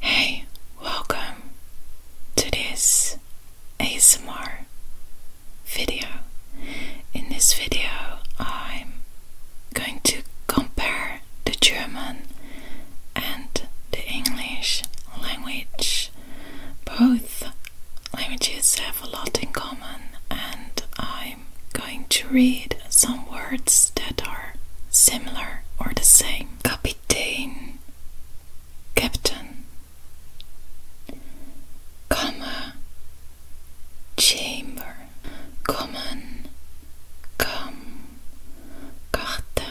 Hey, welcome to this ASMR video. In this video, I'm going to compare the German and the English language. Both languages have a lot in common, and I'm going to read some words that are similar or the same. Kapitän, Kapitän, Captain, Kammer, Chamber, Common, Come, Karte,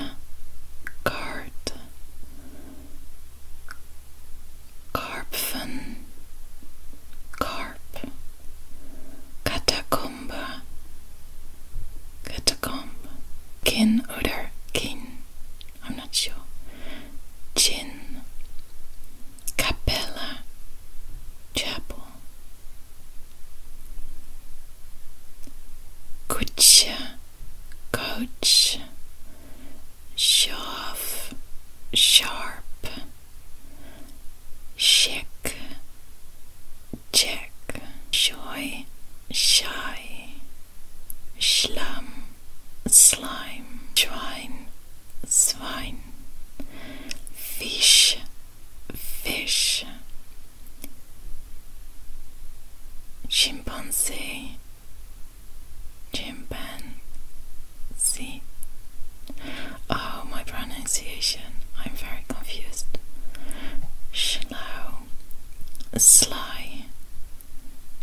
Karte, Karpfen, Karp, Catacombe, catacomb, kin oder kin, I'm not sure, chin, capella, chapel, kutsche, coach, shove, sharp, chic, Check, Joy, Shy, Schlamm, Slime, Schwein, Swine, Fish, Fish, Chimpanzee, Chimpanzee. Oh, my pronunciation, I'm very confused. Schlau, Sly,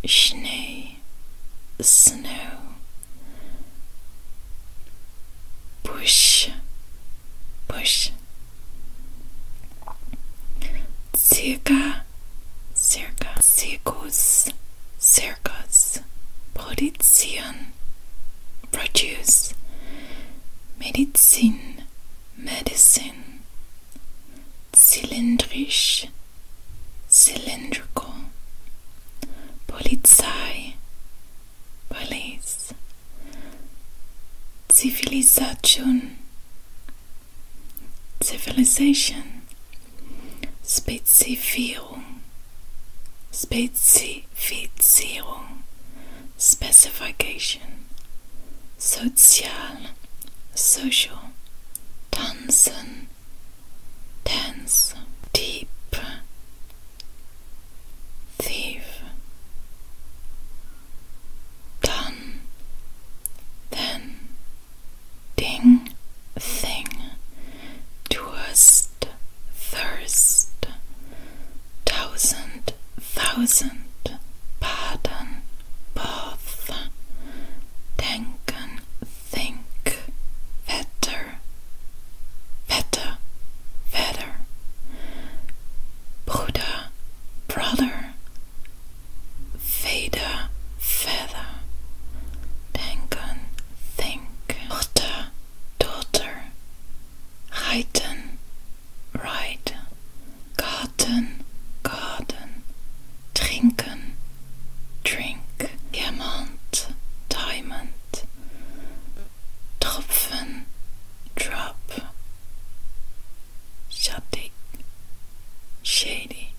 Schnee, Snow, Bush, Bush, Circa, Circa, Circus, Circus, Produzieren, Produce, medicine. medicine, zylindrisch, cylindrical, Polizei, police, Zivilisation, civilization, Spezifierung, Spezifizierung, specification, social, social, tanzen, dance, deep, thief, done, then, ding, thing, twist, thirst, Thousand, thousand, pardon, both, denken, think, wetter, wetter, wetter, Bruder, brother, Feder, feather, denken, think, Mutter, daughter, reiten, right, garden, garden, trinken, drink, diamant, diamond, tropfen, drop, shattig, shady,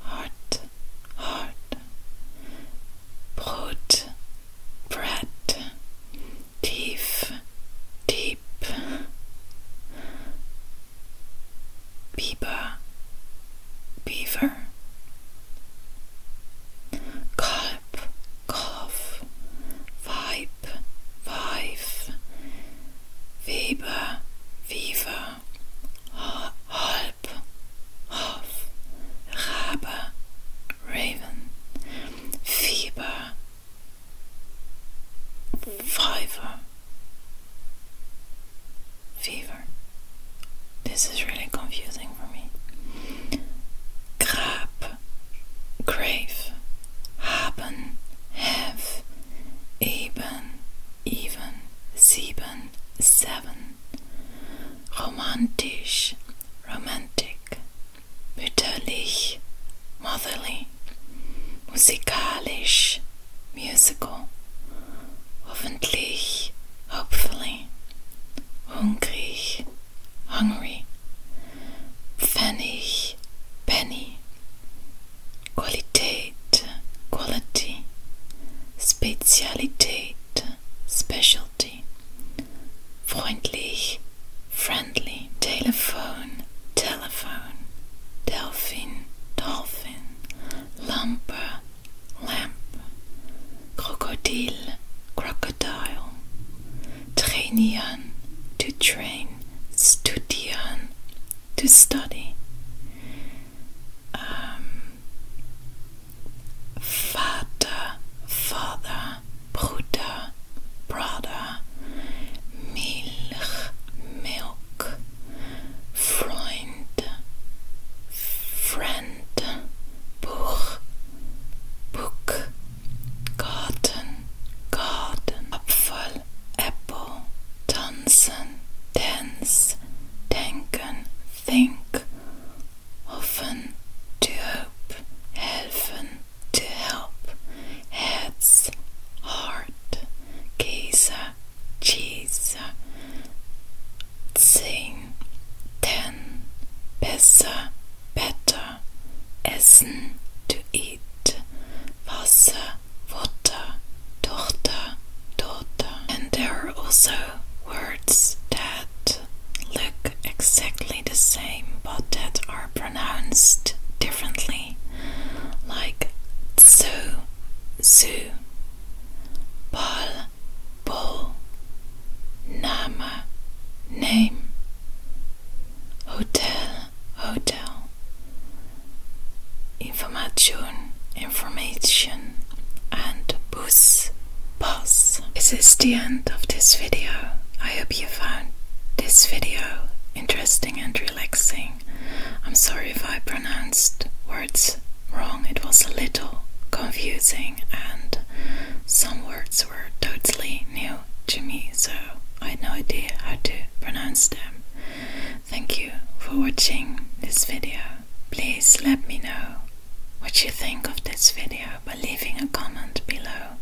heart, heart, Brot, Brett, Tief, Deep, Beaver, Beaver, Kalb, Kalf, Weib, Weif, Weber, Weaver, Halb, Hof, Rabe, Raven, Fieber, Fiver, Fever. This is really confusing for me. Grape, Grave, Haben, Have, Eben, Even, Sieben, Seven. romantisch, romantic, mütterlich, motherly, musikalisch, musical, hoffentlich, hopefully, hungrig, hungry, pfennig, penny, Qualität, quality, Spezialität, specialty. Freundlich, friendly. Telephone, telephone. Delphin, dolphin. Lamp. lamp. Crocodile, crocodile. Trainieren, to train. Studieren, to study. Um, Vater, father, Bruder, brother, Milch, milk, Freund, friend, Buch, book, garden, garden, Apfel, apple, tanzen, dance, denken, think, hoffen, to help, helfen, to help, heads, heart, Käse, cheese, zehn, ten, besser, better, essen, to eat, Wasser, water, Tochter, daughter, and there are also words that look exactly the same but that are pronounced differently, like zoo, zoo, ball, ball, name, name, hotel, hotel, information, information, and bus, Boss, This is the end of this video. I hope you found this video interesting and relaxing. I'm sorry if I pronounced words wrong, it was a little confusing, and some words were totally new to me, so I had no idea how to pronounce them. Thank you for watching this video. Please let me know what you think of this video by leaving a comment below.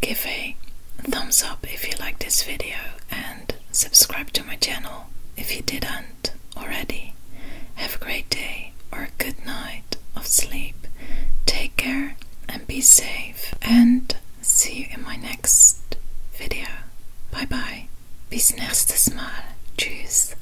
Give a thumbs up if you like this video and subscribe to my channel if you didn't already. Have a great day or a good night of sleep. Take care and be safe and see you in my next video. Bye bye. Bis nächstes Mal. Tschüss.